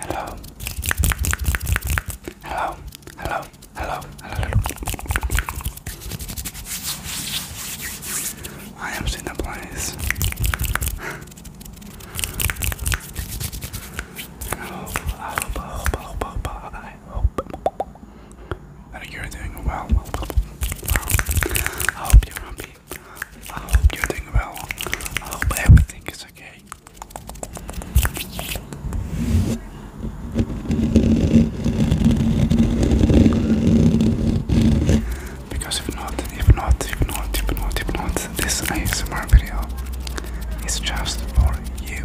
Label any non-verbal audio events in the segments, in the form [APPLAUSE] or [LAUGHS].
Hello. Hello. Hello. Hello. Hello. I am seeing the place. I hope, I hope, you're doing well. I hope you're happy. I hope you're doing well. I hope everything is okay. Because if not, if not, if not, if not, if not, this ASMR video is just for you.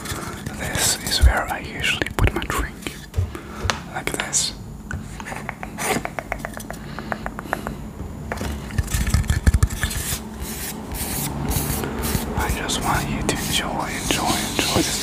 This is where I usually put my drink, like this. I just want you to enjoy, enjoy, enjoy this.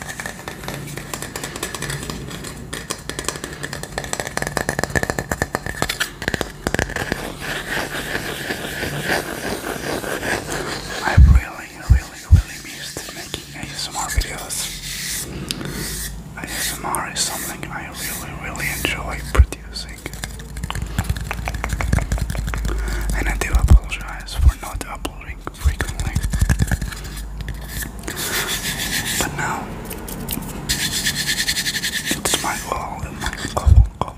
I am really, really, really missed making ASMR videos. ASMR is something I really, really enjoy producing. And I do apologize for not uploading frequently. But now it's my goal, my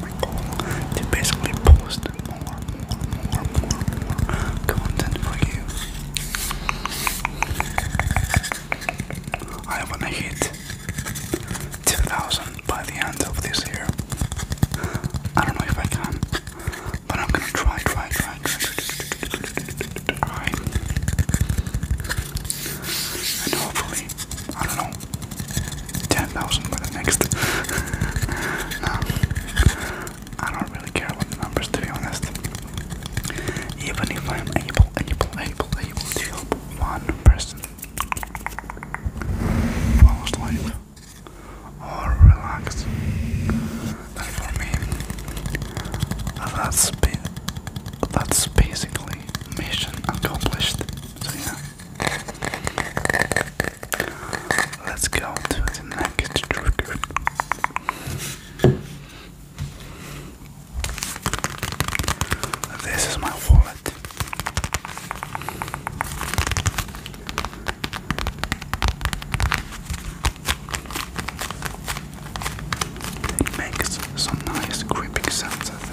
my goal to basically post more, more, more, more content for you. I wanna hit 2,000 by the end of this year, I don't know if I can, but I'm gonna try, try, try, try, try, try. and hopefully, I don't know, 10,000 by the next. no, I don't really care about the numbers to be honest. Even if I'm able, able, able, able to help one person, I was or relax. And for me, that's that's basically mission accomplished. So yeah. Let's go to the next trigger. This is my wallet. It makes some nice gripping sounds, I think.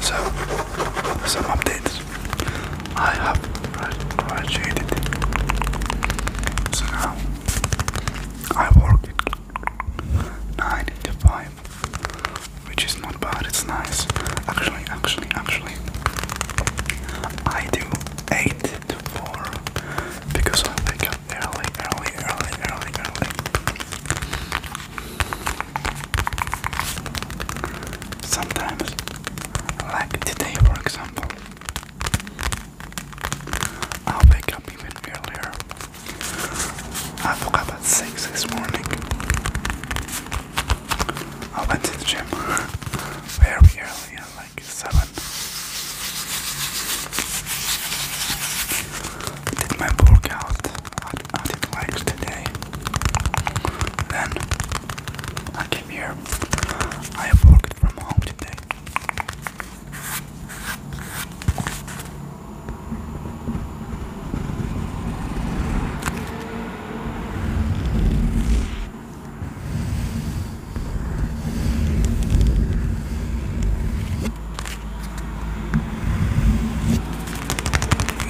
So, some updates I have graduated. So now I work at 9 to 5, which is not bad, it's nice. Actually, actually, actually, I do 8 to 4 because I wake up early, early, early, early, early. Sometimes, like today, for example, I'll wake up even earlier. I woke up at 6 this morning. I went to the gym [LAUGHS] very early, seven. I did my workout I did like today. Then I came here. I worked from home today.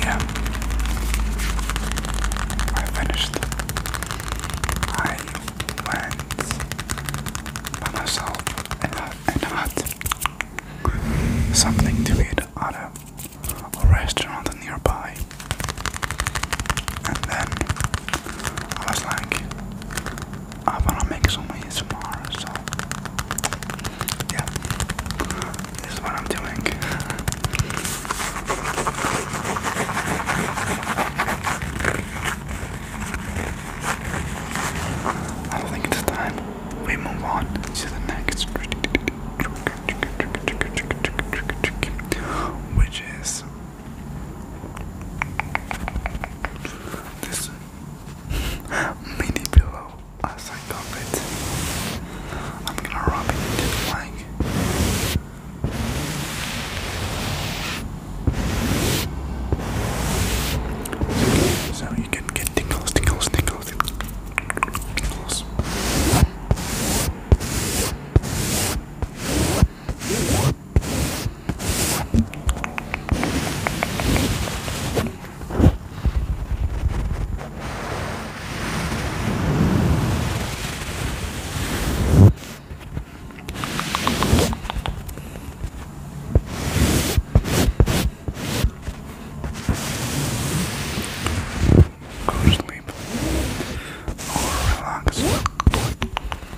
Yeah, I finished. I went by myself and had something to eat at a, a restaurant nearby, and then I was like, I wanna make some money tomorrow, so yeah, this is what I'm doing. I think it's time we move on to the next which is this mini pillow as I got it. I'm gonna rub it into So you can get tingles, tingles, tingles, tingles. Go to sleep or relax.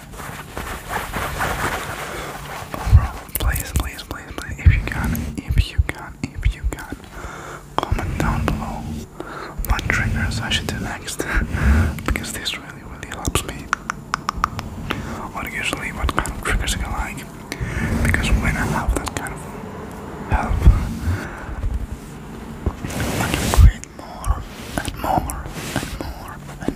bro, please, please, please, please, if you can, if you can, if you can, comment down below what triggers I should do next, [LAUGHS] because this really, really helps me. Or usually what kind of triggers I like, because when I have that kind of help, I can create more and more and more and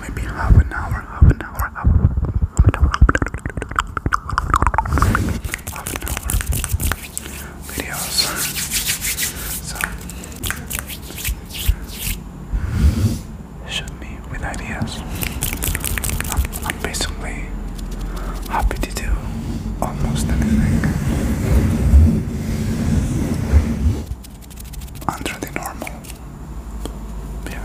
maybe half an hour, half an hour, half videos. So shoot me with ideas. I'm basically happy to do almost anything under the normal. Yeah.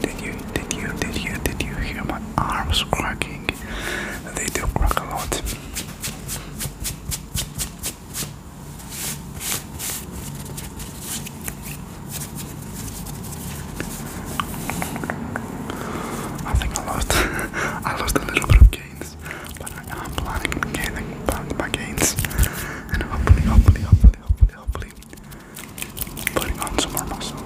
Did you, did you, did you, did you hear my arms cracking? They do crack a lot. I think I lost, [LAUGHS] I lost a little bit of gains, but I, am planning on gaining my gains, and hopefully, hopefully, hopefully, hopefully, hopefully, Putting on some more muscle.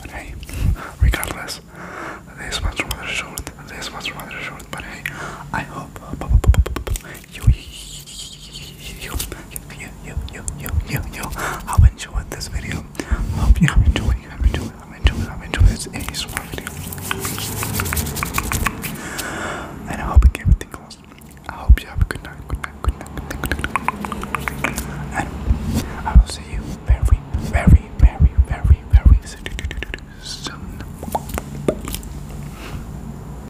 But hey, regardless, this one's rather short, this one's rather short, but hey, I hope you, you, you, you, you, you, you, you. I've enjoyed this video. Hope you have enjoyed. You enjoyed. I've enjoyed. enjoyed this ASMR video. And I hope it gave you I hope you have a good night. Good night. Good night. Good night. Good night. And I will see you very, very, very, very, very soon.